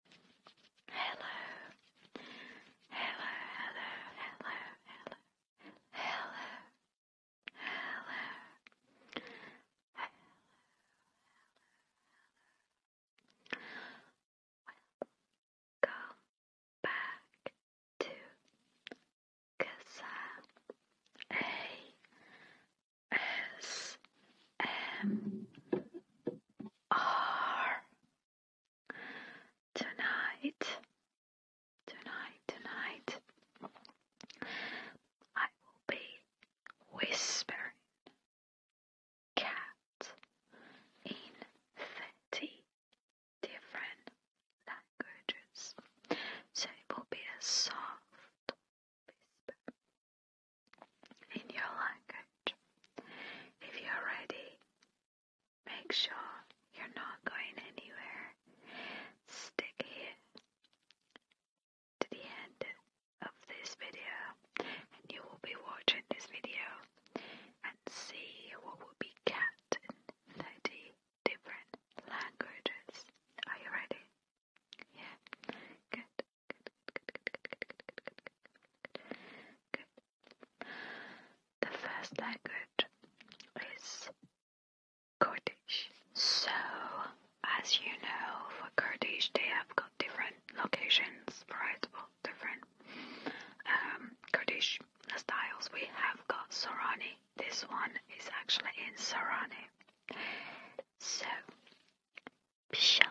Hello. Hello, hello, hello, hello. Hello. Hello. Hello. Hello. Hello. Welcome back to Kazam A S M tonight, tonight, tonight. I will be whispering cat in thirty different languages, so it will be a soft whisper in your language. If you're ready, make sure you're not going anywhere. Stick here to the end of this video, and you will be watching this video and see what will be cat in 30 different languages. Are you ready? Yeah, good. The first language is Kurdish. So, as you know, for Kurdish they have got different locations, right? Well, different um, Kurdish styles. We have got Sorani. This one is actually in Sorani. So, Pishal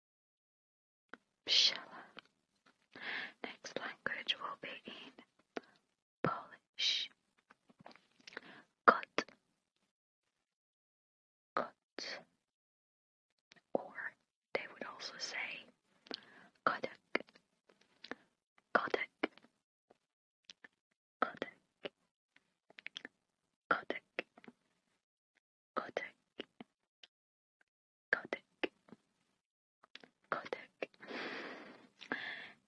Pshala. Next language will be in Polish. Kot. Kot. Or they would also say Kodak. Kodak. Kodak. Kodak. Kodak, Kodak, Kodak.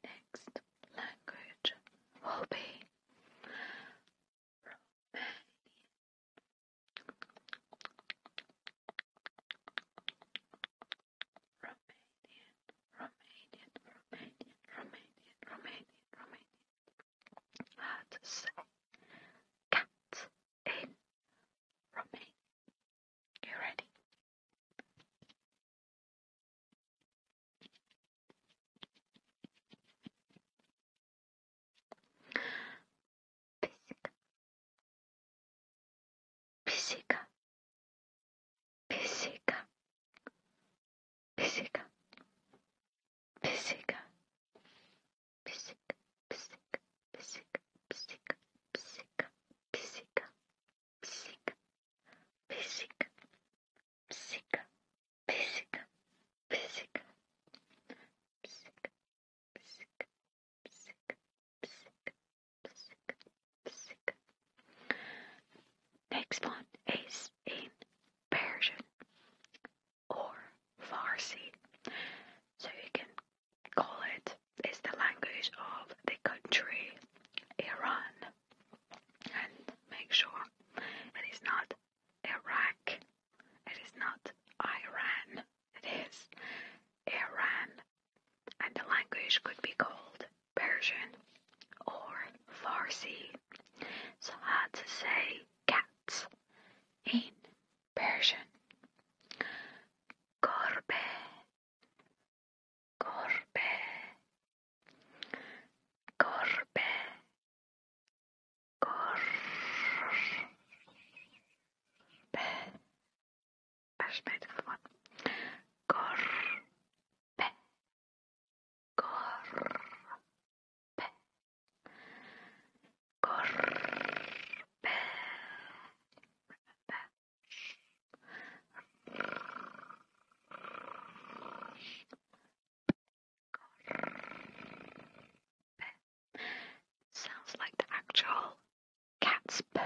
Next language will be Romanian. Romanian, Romanian, Romanian, Romanian, Romanian, Romanian. How to say cat, in Romania. You ready? Pisica, pisica, pisica, pisica, pisica, pisica, pisica, pisica, pisica, pisica, pisica, pisica, pisica, pisica, pisica, pisica, pisica, pisica, pisica, pisica, pisica, pisica. Next one is in Persian or Farsi. So you can call it, it's the language of the country Iran. And make sure it is not Iraq, it is not Iran, it is Iran. And the language could be called Persian or Farsi. So how to say cats in Persian Korbe Korbe Korbe Korbe Başlaydı falan Korbe Korbe Corpe. Sounds like the actual cat's purring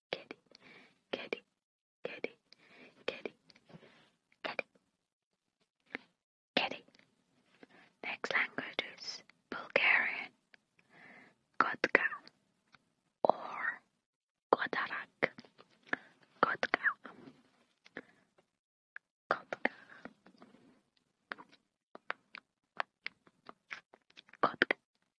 kitty, kitty, kitty, kitty, kitty, kitty. Next language is Bulgarian, Kotka or Kotarak, Kotka, Kotka, Kotka.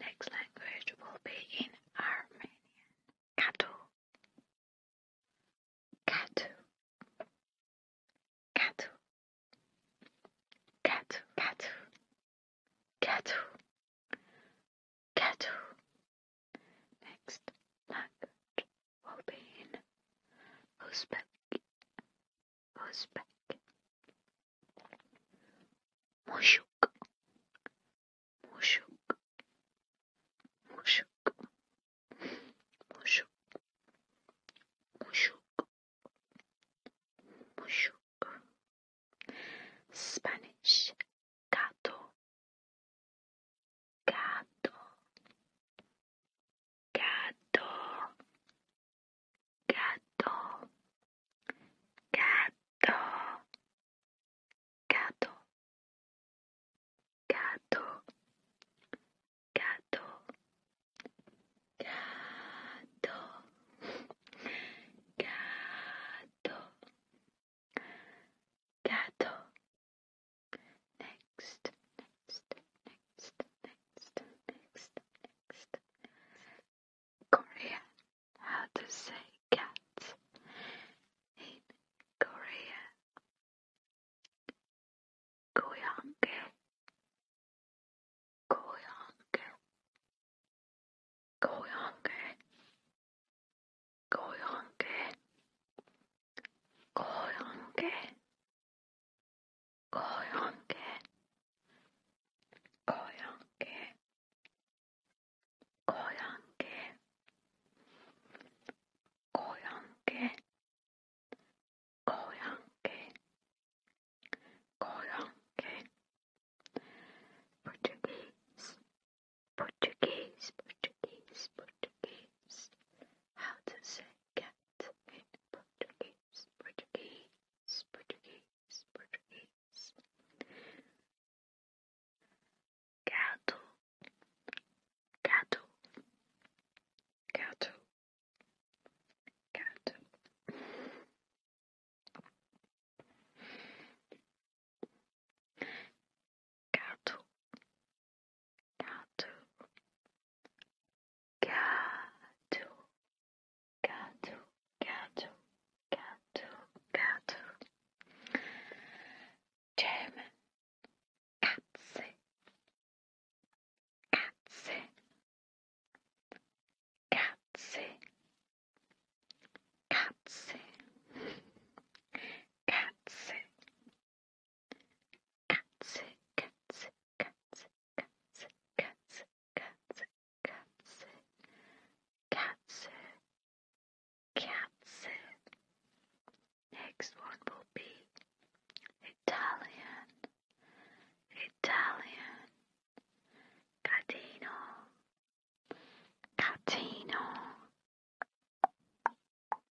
next language will be in Armenian. Katu. Katu. Katu. Katu. Katu. Katu. Katu. Next language will be in Uzbek. Uzbek Mushuk Mushuk Mushuk Mushuk Mushuk Mushuk Spanish Gato Gato gato gato gato gato gato gato gato gato gato next next, next, next, next, next. Korean. How to say cat in Korean? 고양개, 고양개, 고양개, 고양개, 고양개. 고용개 고용개 고용개 고용개 고용개 고용개 Portuguese Portuguese Portuguese Portuguese How to say cat in Portuguese Portuguese, Portuguese, Portuguese. Gato, gato, gato, gato. Gato, Gato, gato, gato, gato, gato, gato. German, Katze, Katze, Katze, Katze, Katze. Katze, Katze, Katze, Katze, Katze, Katze, Katze, Katze, Katze. Next one will be Italian, Italian, Catino, Catino. Cantina.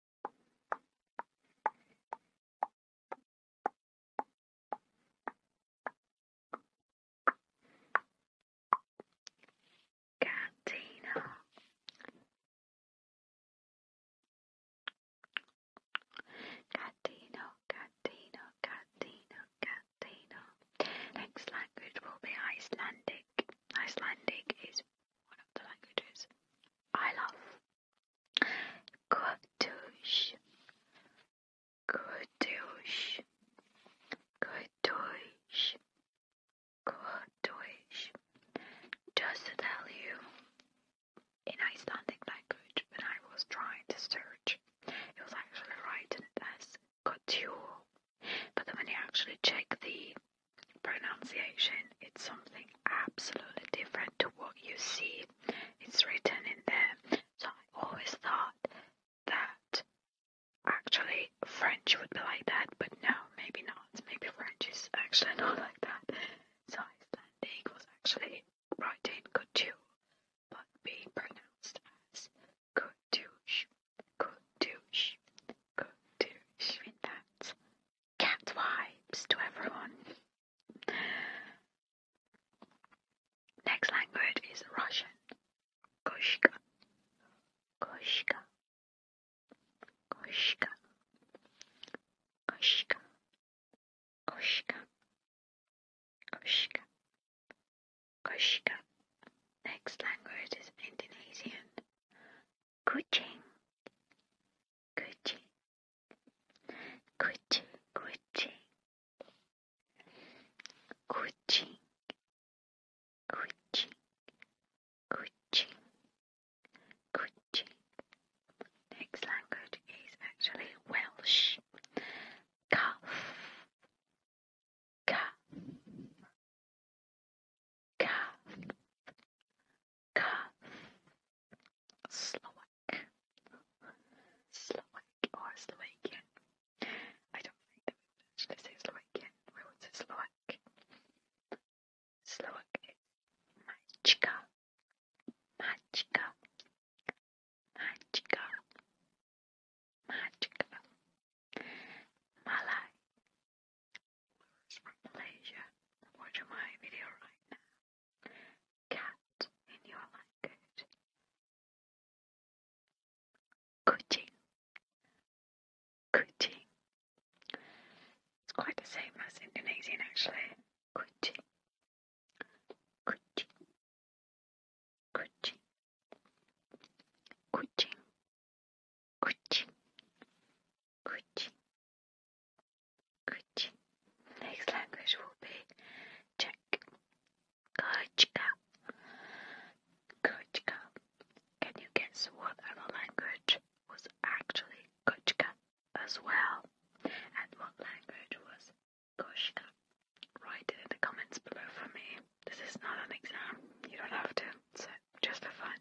Catino, Catino, Catino, Next language will be Icelandic. Icelandic is one of the languages I love. Kotush, Kotush, Kotush, Kotush. Just to tell you, in Icelandic language, when I was trying to search, it was actually written as Kotu. But then when you actually check the pronunciation, it's something absolutely different to what you see. It's written in there. So I always thought that actually French would be like that, but no, maybe not. Maybe French is actually not like that. So Icelandic was actually writing kutu, but be pronounced as kutush, kutush, kutush. I mean, that's cat wipes to everyone. Next language is Russian. Koshka. Koshka. Koshka. Koshka. Koshka. Koshka. Koshka. Next language is Indonesian. Kucing. Gucci, Gucci, Gucci, Gucci, Gucci, Gucci, Gucci. Next language is actually Welsh. Cuff, cuff, Kath, Kath, Slovak, Slovak or Slovakian. I don't think that we would actually say Slovakian. We would say Slovak. Slovak is Mačka, Mačka, Mačka, Mačka. Malay, Viewers from Malaysia watching my video right now. Cat in your language. Kuching. Kuching. It's quite the same as Indonesian actually. Kuching. Kuching. Kuching. Kuching. Gucci, Gucci, Gucci. Next language will be Czech. Kočka, Kočka. Can you guess what other language was actually Kočka as well? And what language was Koška? Write it in the comments below for me. This is not an exam. You don't have to. So just for fun.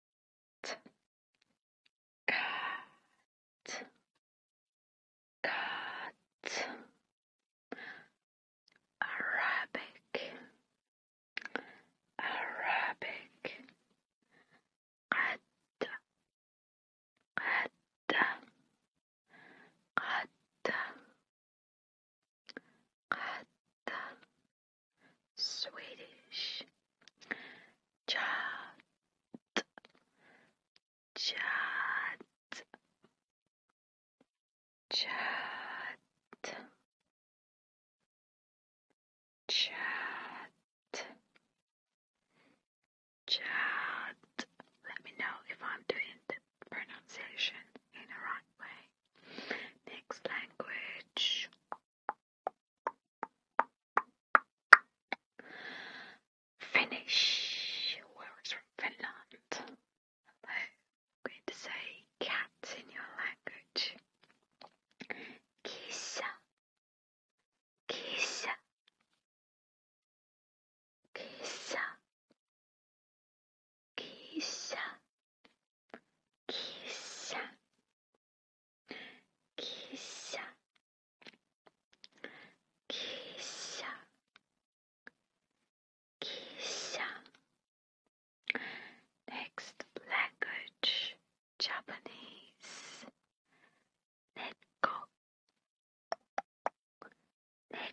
Cat. Cat. Cat. Arabic. Arabic. Qatta. Qatta. Qatta. Qatta. Swedish chat chat chat chat chat let me know if I'm doing the pronunciation in the right way next language Finnish words from Finland. I'm going to say cat in your language. Kissa. Kissa. Kissa. Kissa. Kiss, kiss, kiss, kiss. Next language, Japanese. Let go. Let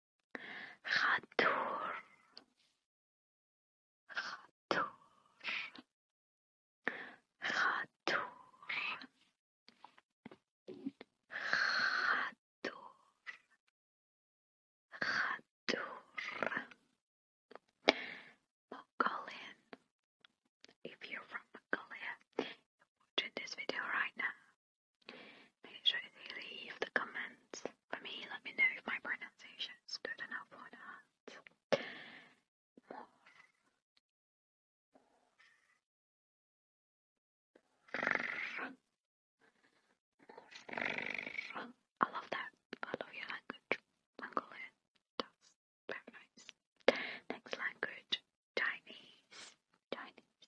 Khadur Khadur Khadur Khadur Khadur Mongolian If you're from Mongolia, you're watching this video right now Make sure they leave the comments for me. Let me know if my pronunciation is good enough or not. I love that. I love your language. Mongolian. That's very nice. Next language Chinese. Chinese,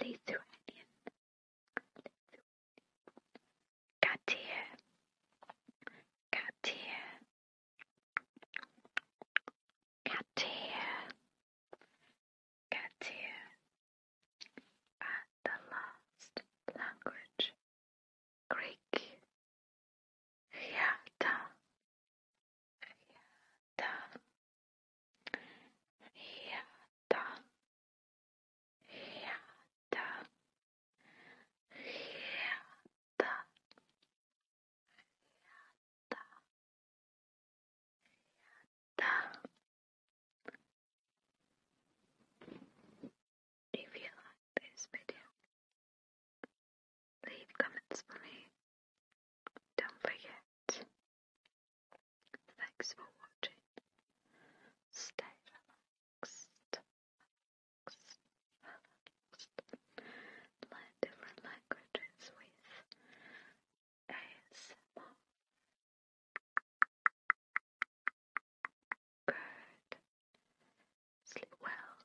Lithuanian, Lithuanian, Katia, Katia, Katia, Katia, and the last language, Greek, Hyata, Yada, yada, yada, yada, yada. If you like this video, leave comments for me don't forget. Thanks for watching. Stay relaxed. Learn different languages with ASMR. Good. Sleep well.